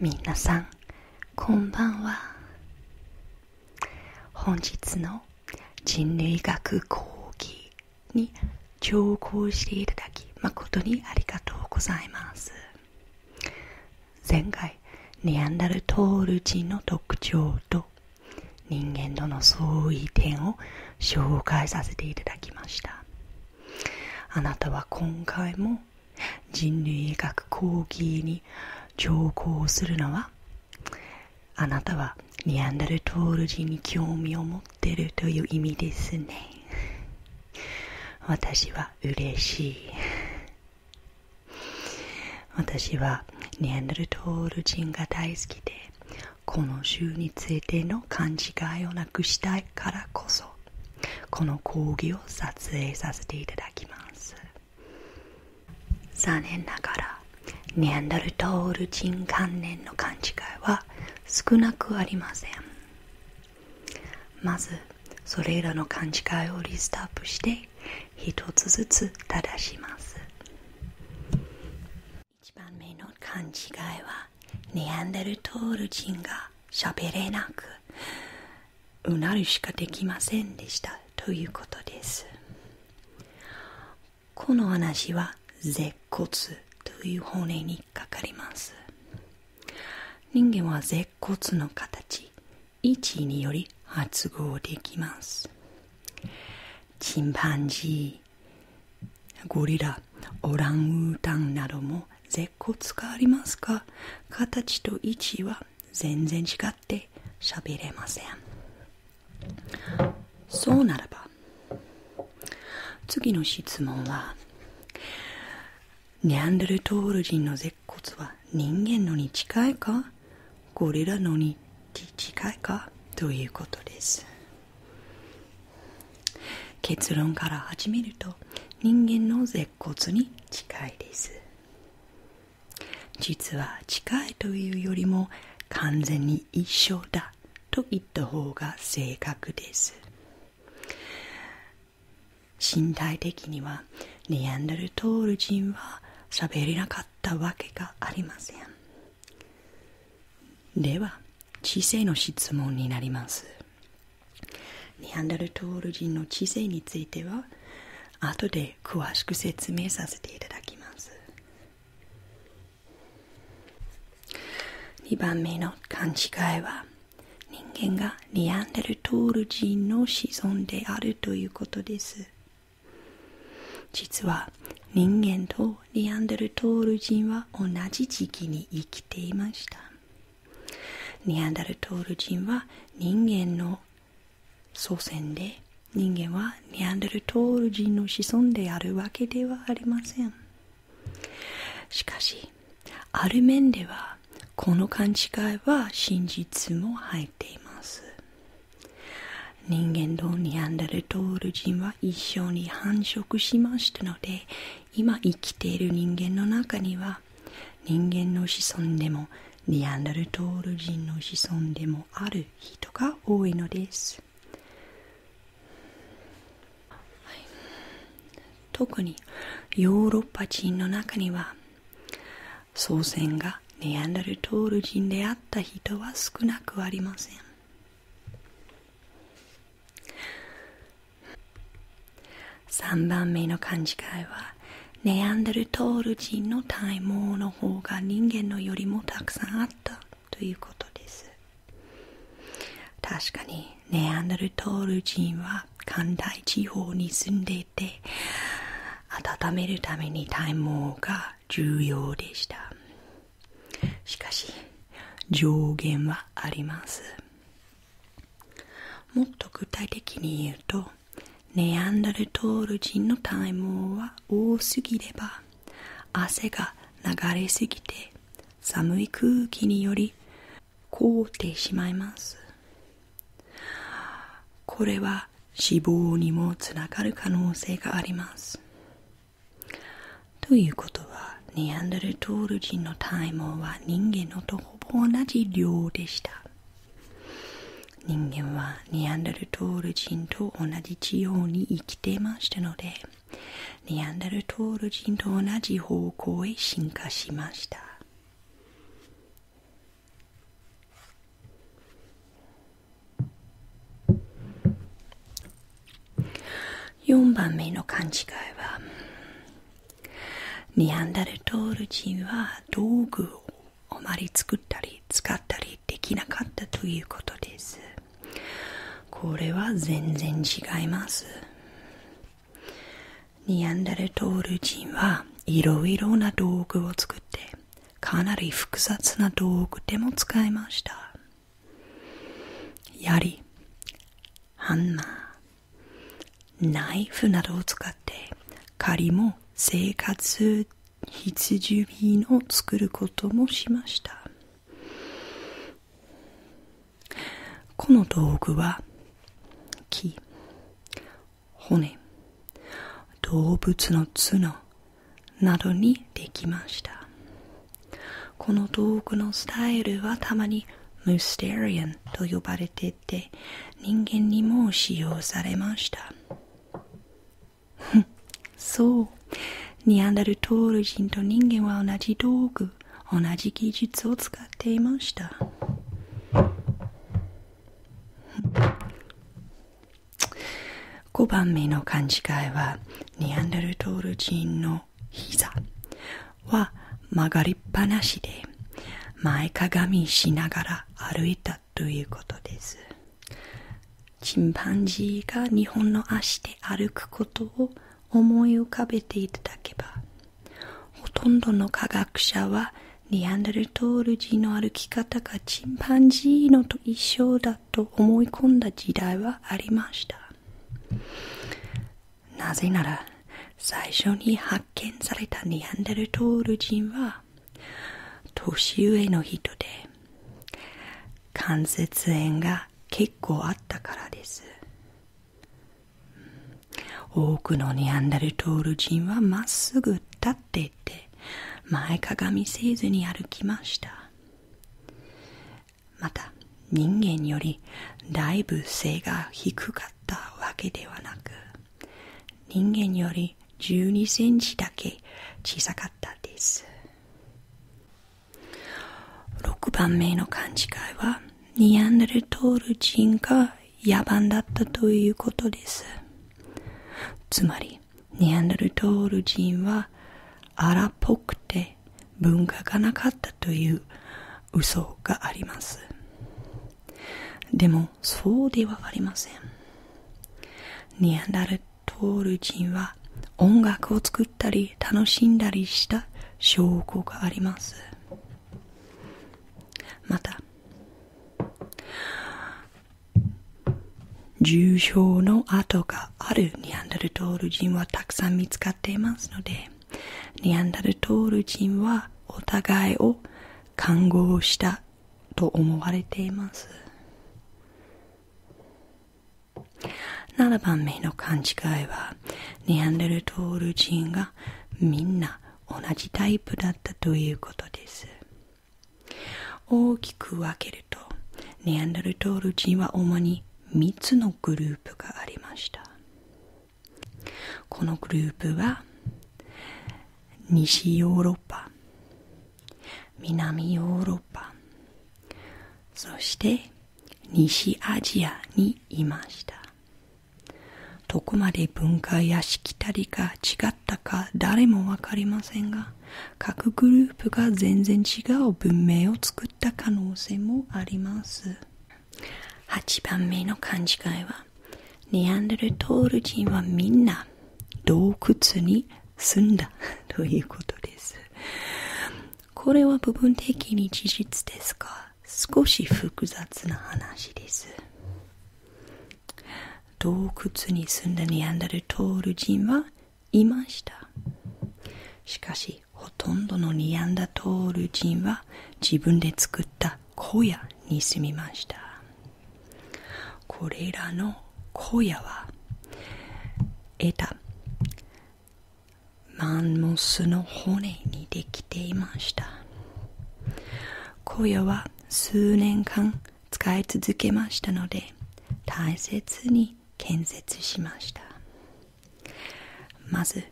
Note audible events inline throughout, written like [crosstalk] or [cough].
皆さんこんばんは本日の人類学講義に聴講していただき誠にありがとうございます前回ネアンダルトール人の特徴と人間との相違点を紹介させていただきましたあなたは今回も人類学講義に上校するのはあなたはニアンダルトール人に興味を持っているという意味ですね私は嬉しい私はニャンダルトール人が大好きでこの州についての勘違いをなくしたいからこそこの講義を撮影させていただきます残念ながらニャンダルトール人関連の勘違いは少なくありませんまずそれらの勘違いをリストアップして1つずつ正します一番目の勘違いはネアンデルトール人がしゃべれなくうなるしかできませんでしたということですこの話は舌骨という本音にかかります人間は鉄骨の形1により発語できますチンパンジーゴリラオランウータンなども舌骨がありますが形と位置は全然違って喋れませんそうならば次の質問はニャンデルトール人の舌骨は人間のに近いかゴリラのに近いかということです結論から始めると人間の舌骨に近いです実は近いというよりも完全に一緒だと言った方が正確です身体的にはネアンダルトール人は喋れなかったわけがありませんでは知性の質問になりますネアンダルトール人の知性については後で詳しく説明させていただきます2番目の勘違いは人間がアンでルトール人の子孫であるということです実は人間とネアンデルトール人は同じ時期に生きていましたネアンダルトール人は人間の祖先で人間はネアンデルトール人の子孫であるわけではありませんしかしある面ではこの勘違いは真実も入っています人間とニャンダルトール人は一緒に繁殖しましたので今生きている人間の中には人間の子孫でもニャンダルトール人の子孫でもある人が多いのです特にヨーロッパ人の中には祖先がネアンダルトール人であった人は少なくありません3番目の勘違いはネアンダルトール人の体毛の方が人間のよりもたくさんあったということです確かにネアンダルトール人は寒帯地方に住んでいて温めるために体毛が重要でしたしかし上限はありますもっと具体的に言うとネアンダルトール人の体毛は多すぎれば汗が流れすぎて寒い空気により凍ってしまいますこれは死亡にもつながる可能性がありますということはネアンデルトール人の体毛は人間のとほぼ同じ量でした人間はネアンデルトール人と同じ地方に生きていましたのでネアンデルトール人と同じ方向へ進化しました4番目の勘違いはニャンダルトール人は道具をあまり作ったり使ったりできなかったということですこれは全然違いますニアンダルトール人はいろいろな道具を作ってかなり複雑な道具でも使いました槍ハンマーナイフなどを使って仮も生活必需品を作ることもしましたこの道具は木骨動物の角などにできましたこの道具のスタイルはたまにムステリアンと呼ばれてて人間にも使用されました [laughs] そうニアンダルトール人と人間は同じ道具同じ技術を使っていました5番目の勘違いはニアンダルトール人の膝は曲がりっぱなしで前かがみしながら歩いたということですチンパンジーが日本の足で歩くことを思い浮かべていただけばほとんどの科学者はニアンデルトール人の歩き方がチンパンジーのと一緒だと思い込んだ時代はありましたなぜなら最初に発見されたニアンデルトール人は年上の人で関節炎が結構あったからです多くのニャンダルトール人はまっすぐ立っていて前かがみせずに歩きましたまた人間よりだいぶ背が低かったわけではなく人間より12センチだけ小さかったです6番目の勘違いはニアンデルトール人が野蛮だったということですつまりニアンデルトール人は荒っぽくて文化がなかったという嘘がありますでもそうではありませんニアンダルトール人は音楽を作ったり楽しんだりした証拠がありますまた重症の跡があるニャンダルトール人はたくさん見つかっていますのでニャンダルトール人はお互いを看護したと思われています7番目の勘違いはニャンダルトール人がみんな同じタイプだったということです大きく分けるとネアンダルトール人は主に3つのグループがありましたこのグループは西ヨーロッパ南ヨーロッパそして西アジアにいましたどこまで文化やしきたりが違ったか誰もわかりませんが各グループが全然違う文明を作った可能性もあります8番目の勘違いはネアンデルトール人はみんな洞窟に住んだということですこれは部分的に事実ですか？少し複雑な話です洞窟に住んだニアンダルトール人はいましたしかしほとんどのニアンダトール人は自分で作った小屋に住みましたこれらの小屋は得た！マンモスの骨にできていました小屋は数年間使い続けましたので大切に建設しましたまず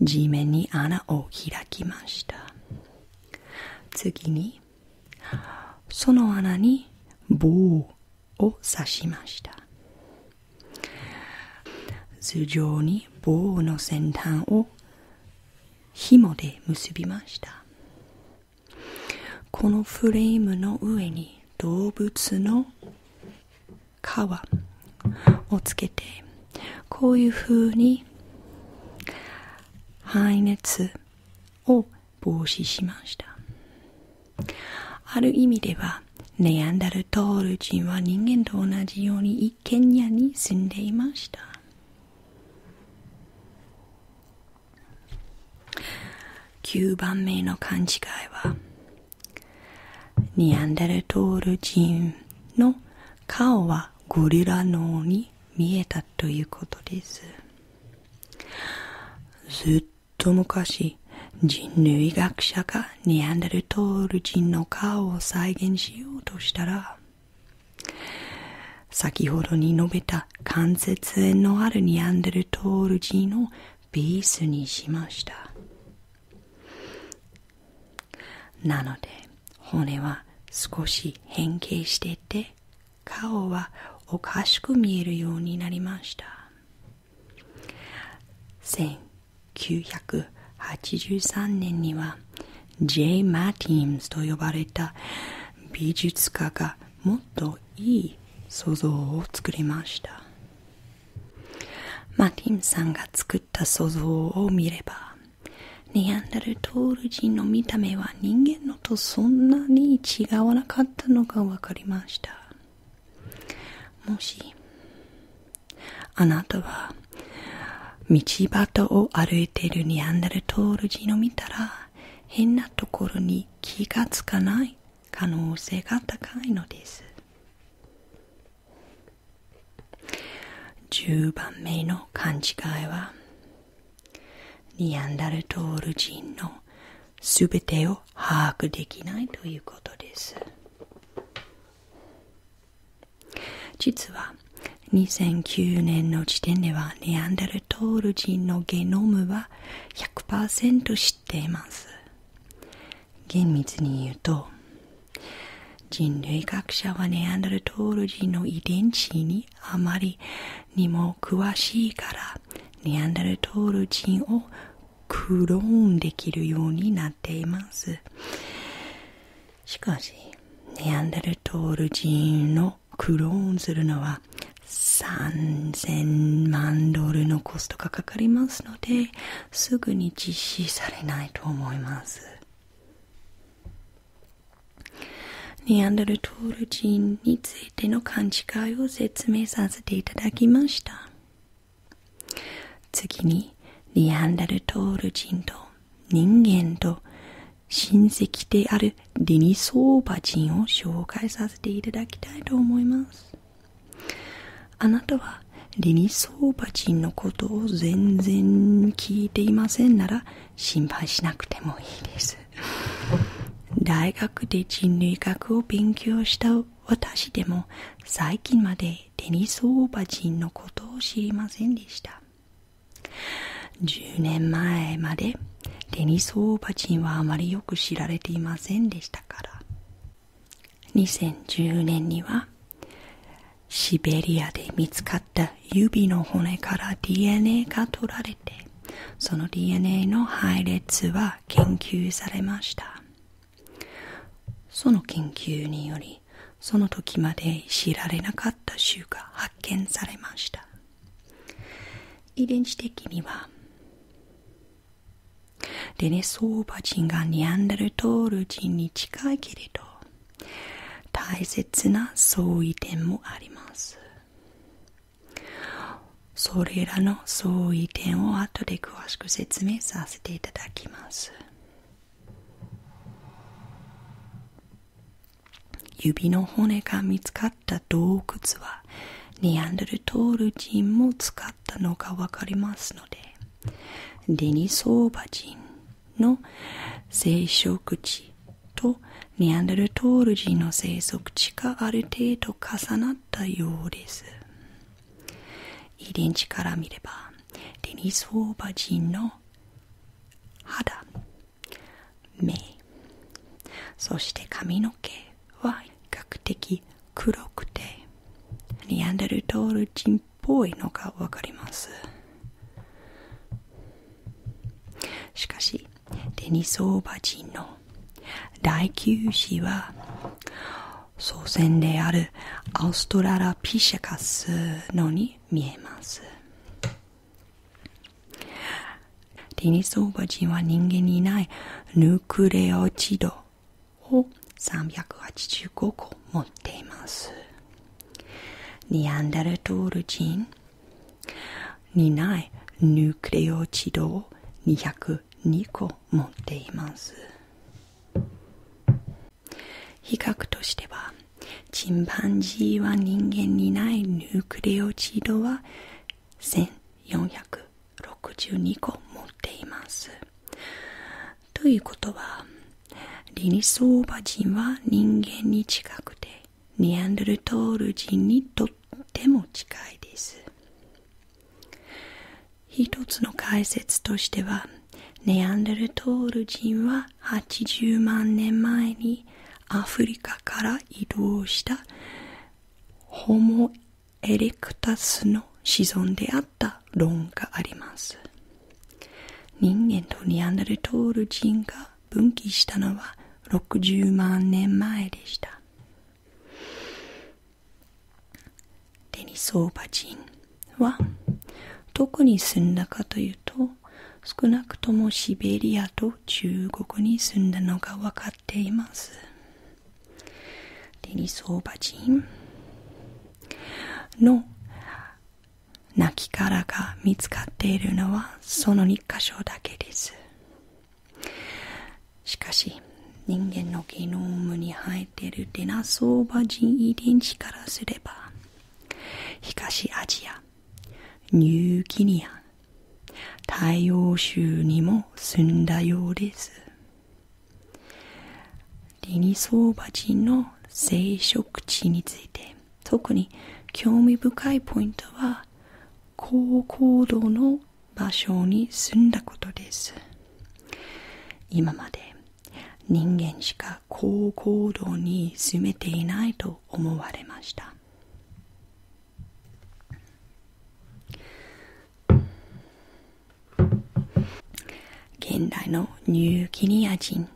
地面に穴を開きました次にその穴に棒を刺しました頭上に棒の先端を紐で結びましたこのフレームの上に動物の皮をつけてこういうふうに排熱を防止しましたある意味ではネアンダルトール人は人間と同じように一軒家に住んでいました9番目の勘違いはネアンダルトール人の顔はゴリラ脳に見えたということですずっと昔人類学者がニャンダルトール人の顔を再現しようとしたら先ほどに述べた関節炎のあるニャンダルトール人のビースにしましたなので骨は少し変形してて顔はおかしく見えるようになりました1983年には J. マティンズと呼ばれた美術家がもっといい想像を作りましたマティンさんが作った想像を見ればネアンダルトール人の見た目は人間のとそんなに違わなかったのが分かりましたもしあなたは道端を歩いているニャンダルトール人を見たら変なところに気がつかない可能性が高いのです10番目の勘違いはニャンダルトール人のすべてを把握できないということです実は2009年の時点ではネアンダルトール人のゲノムは100%知っています厳密に言うと人類学者はネアンダルトール人の遺伝子にあまりにも詳しいからネアンダルトール人をクローンできるようになっていますしかしネアンデルトール人のクローンするのは3000万ドルのコストがかかりますのですぐに実施されないと思いますネアンデルトール人についての勘違いを説明させていただきました次にニアンダルトール人と人間と親戚であるディニソーバ人を紹介させていただきたいと思いますあなたはディニソーバ人のことを全然聞いていませんなら心配しなくてもいいです大学で人類学を勉強した私でも最近までデニス・オーバチのことを知りませんでした10年前までデニス・オーバチンはあまりよく知られていませんでしたから2010年にはシベリアで見つかった指の骨から DNA が取られてその DNA の配列は研究されましたその研究によりその時まで知られなかった種が発見されました遺伝子的にはデネソーバ人がニャンダルトール人に近いけれど大切な相違点もありますそれらの相違点を後で詳しく説明させていただきます。指の骨が見つかった洞窟はネアンデルトール人も使ったのが分かりますのでデニソーバ人の生殖地とネアンデルトール人の生息地がある程度重なったようです遺伝子から見ればデニス・ホーバ人の肌目そして髪の毛は比較的黒くてニアンデルトール人っぽいのが分かりますしかしデニス・オーバ人の第9子は祖先であるアウストララピシャカスのに見えますデニス・オーバ人は人間にないヌークレオチドを385個持っていますニアンダルトール人にないヌークレオチドを202個持っています比較としてはチンパンジーは人間にないヌークレオチドは1462個持っていますということはリニソーバ人は人間に近くてニアンドルトール人にとっても近いです1つの解説としてはネアンデルトール人は80万年前にアフリカから移動したホモ・エレクタスの子孫であった論があります人間とネアンデルトール人が分岐したのは60万年前でしたデニソーバ人はどこに住んだかというと少なくともシベリアと中国に住んだのが分かっていますデニソーバ人の亡きからが見つかっているのはその2箇所だけですしかし人間のゲノムに生えているデナソーバ人遺伝子からすれば東アジアニューギニア太陽州にも住んだようですディニソーバ人の生殖地について特に興味深いポイントは高高度の場所に住んだことです今まで人間しか高行動に住めていないと思われました現代のニューギニア人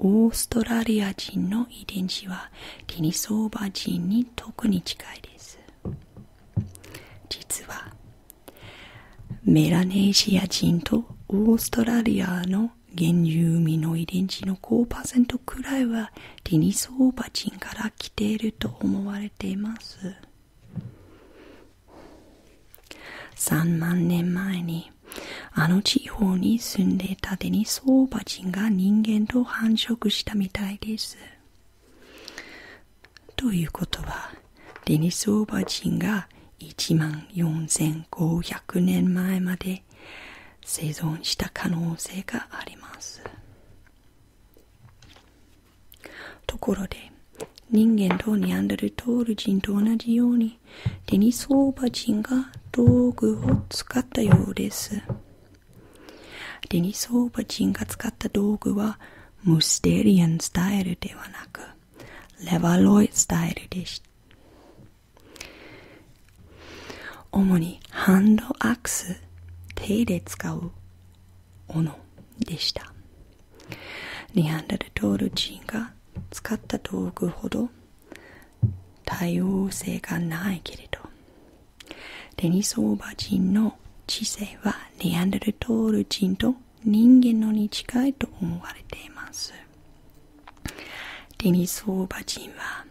オーストラリア人の遺伝子はキニソーバ人に特に近いです実はメラニーシア人とオーストラリアの原住民の遺伝子の5%くらいはテニスオーバー人から来ていると思われています3万年前にあの地方に住んでいたテニスオーバー人が人間と繁殖したみたいですということはデニスオーバー人が1万4500年前まで生存した可能性がありますところで人間とニャンダルトール人と同じようにデニスオーバー人が道具を使ったようですデニスオーバー人が使った道具はムテリアンスタイルではなくレバロイスタイルでした主にハンドアクス手で使う斧でしたリハンダルトール人が使った道具ほど多様性がないけれどデニソーバ人の知性はネアンデルトール人と人間のに近いと思われていますデニソーバ人は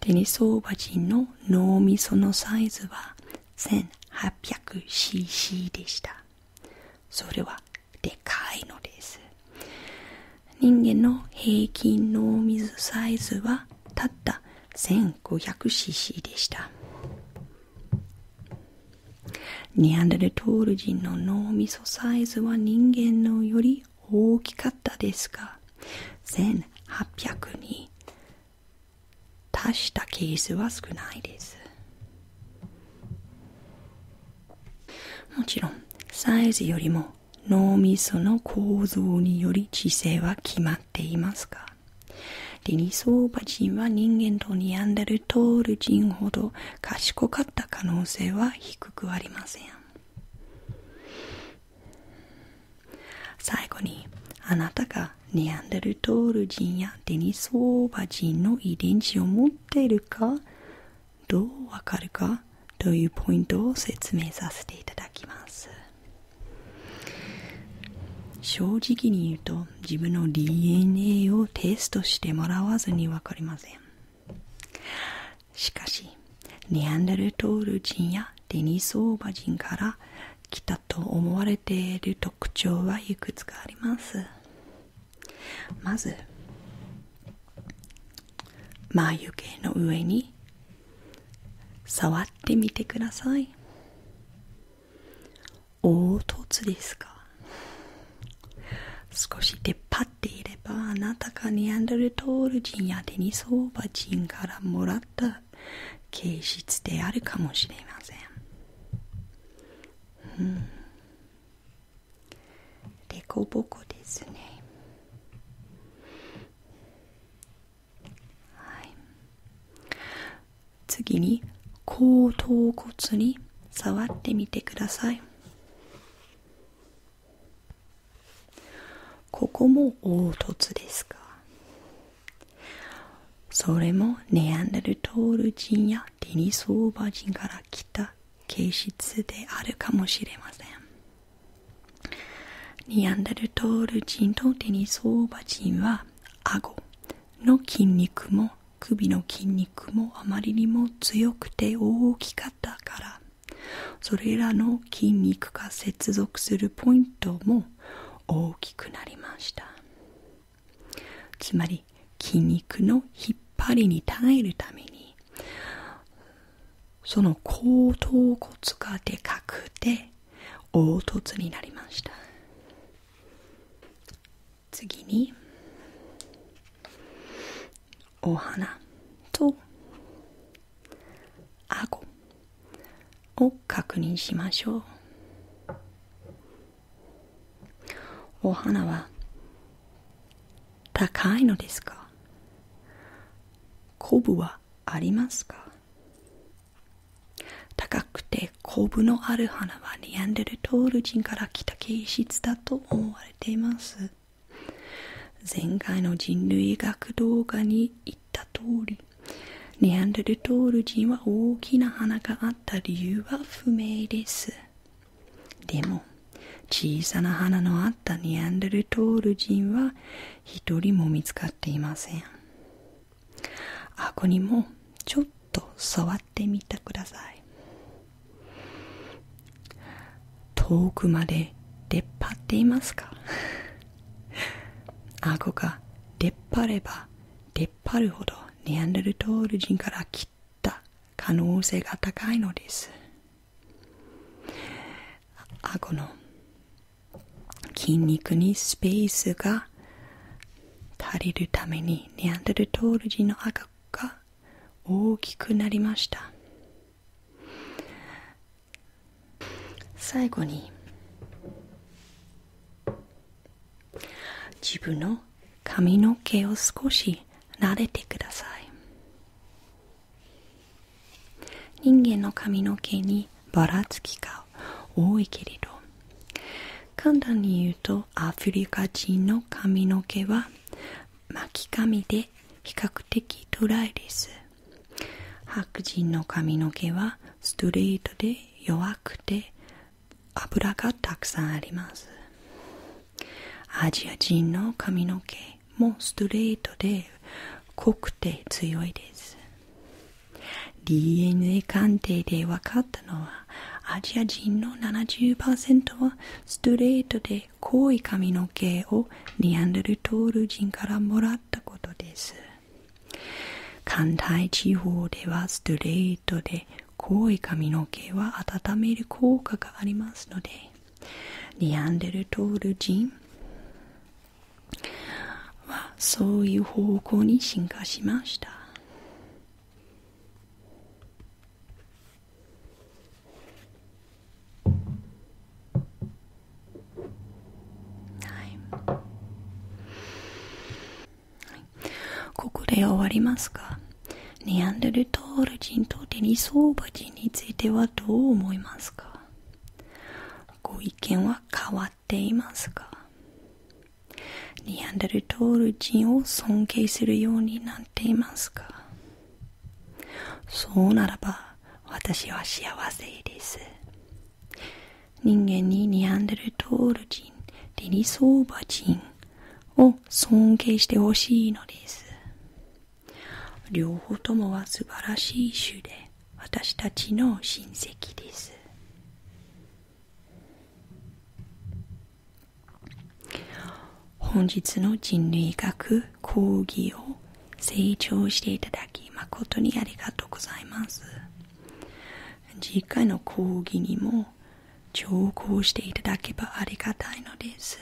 デニソーバ人の脳みそのサイズは 1800cc でしたそれはでかいのです人間の平均脳みそサイズはたった 1500cc でしたニアンデルトール人の脳みそサイズは人間のより大きかったですが1800に達したケースは少ないですもちろんサイズよりも脳みその構造により知性は決まっていますか？デニソーバ人は人間とニアンダルトール人ほど賢かった可能性は低くありません最後にあなたがニアンダルトール人やデニソーバ人の遺伝子を持っているかどうわかるかというポイントを説明させていただきます正直に言うと自分の DNA をテストしてもらわずに分かりませんしかしネアンダルトール人やデニスオーバ人から来たと思われている特徴はいくつかありますまず眉毛の上に触ってみてください凹凸ですか少し出っ張っていればあなたがネアンドルトール人やデニソーバ人からもらった形質であるかもしれません、うん、でこぼこですねはい、次に後頭骨に触ってみてくださいここも凹凸ですかそれもネアンデルトール人やデニスオーバー人から来た形質であるかもしれませんニアンダルトール人とテニスオーバー人は顎の筋肉も首の筋肉もあまりにも強くて大きかったからそれらの筋肉が接続するポイントも大きくなりましたつまり筋肉の引っ張りに耐えるためにその後頭骨がでかくて凹凸になりました次にお花と顎を確認しましょうお花は高いのですかコブはありますか高くて昆布のある花はネアンデルトール人から来た形質だと思われています前回の人類学動画に言った通りネアンデルトール人は大きな花があった理由は不明ですでも小さな花のあったネアンデルトール人は一人も見つかっていません顎にもちょっと触ってみてください遠くまで出っ張っていますか顎 [laughs] が出っ張れば出っ張るほどネアンデルトール人から切った可能性が高いのです顎の筋肉にスペースが足りるためにネアンデルトール人の顎が大きくなりました最後に自分の髪の毛を少し慣れてください人間の髪の毛にばらつきが多いけれど簡単に言うとアフリカ人の髪の毛は巻き髪で比較的トライです白人の髪の毛はストレートで弱くて油がたくさんありますアジア人の髪の毛もストレートで濃くて強いです DNA 鑑定で分かったのはアジア人の70%はストレートで濃い髪の毛をニアンドルトール人からもらったことです関西地方ではストレートで濃い髪の毛は温める効果がありますのでデアンデルトール人はそういう方向に進化しましたここで終わりますかネアンデルトール人とデニソーバ人についてはどう思いますかご意見は変わっていますかニャンダルトール人を尊敬するようになっていますかそうならば私は幸せです人間にニャンデルトール人デニソーバ人を尊敬してほしいのです両方ともは素晴らしい種で私たちの親戚です本日の人類学講義を成長していただき誠にありがとうございます次回の講義にも聴講していただけばありがたいのです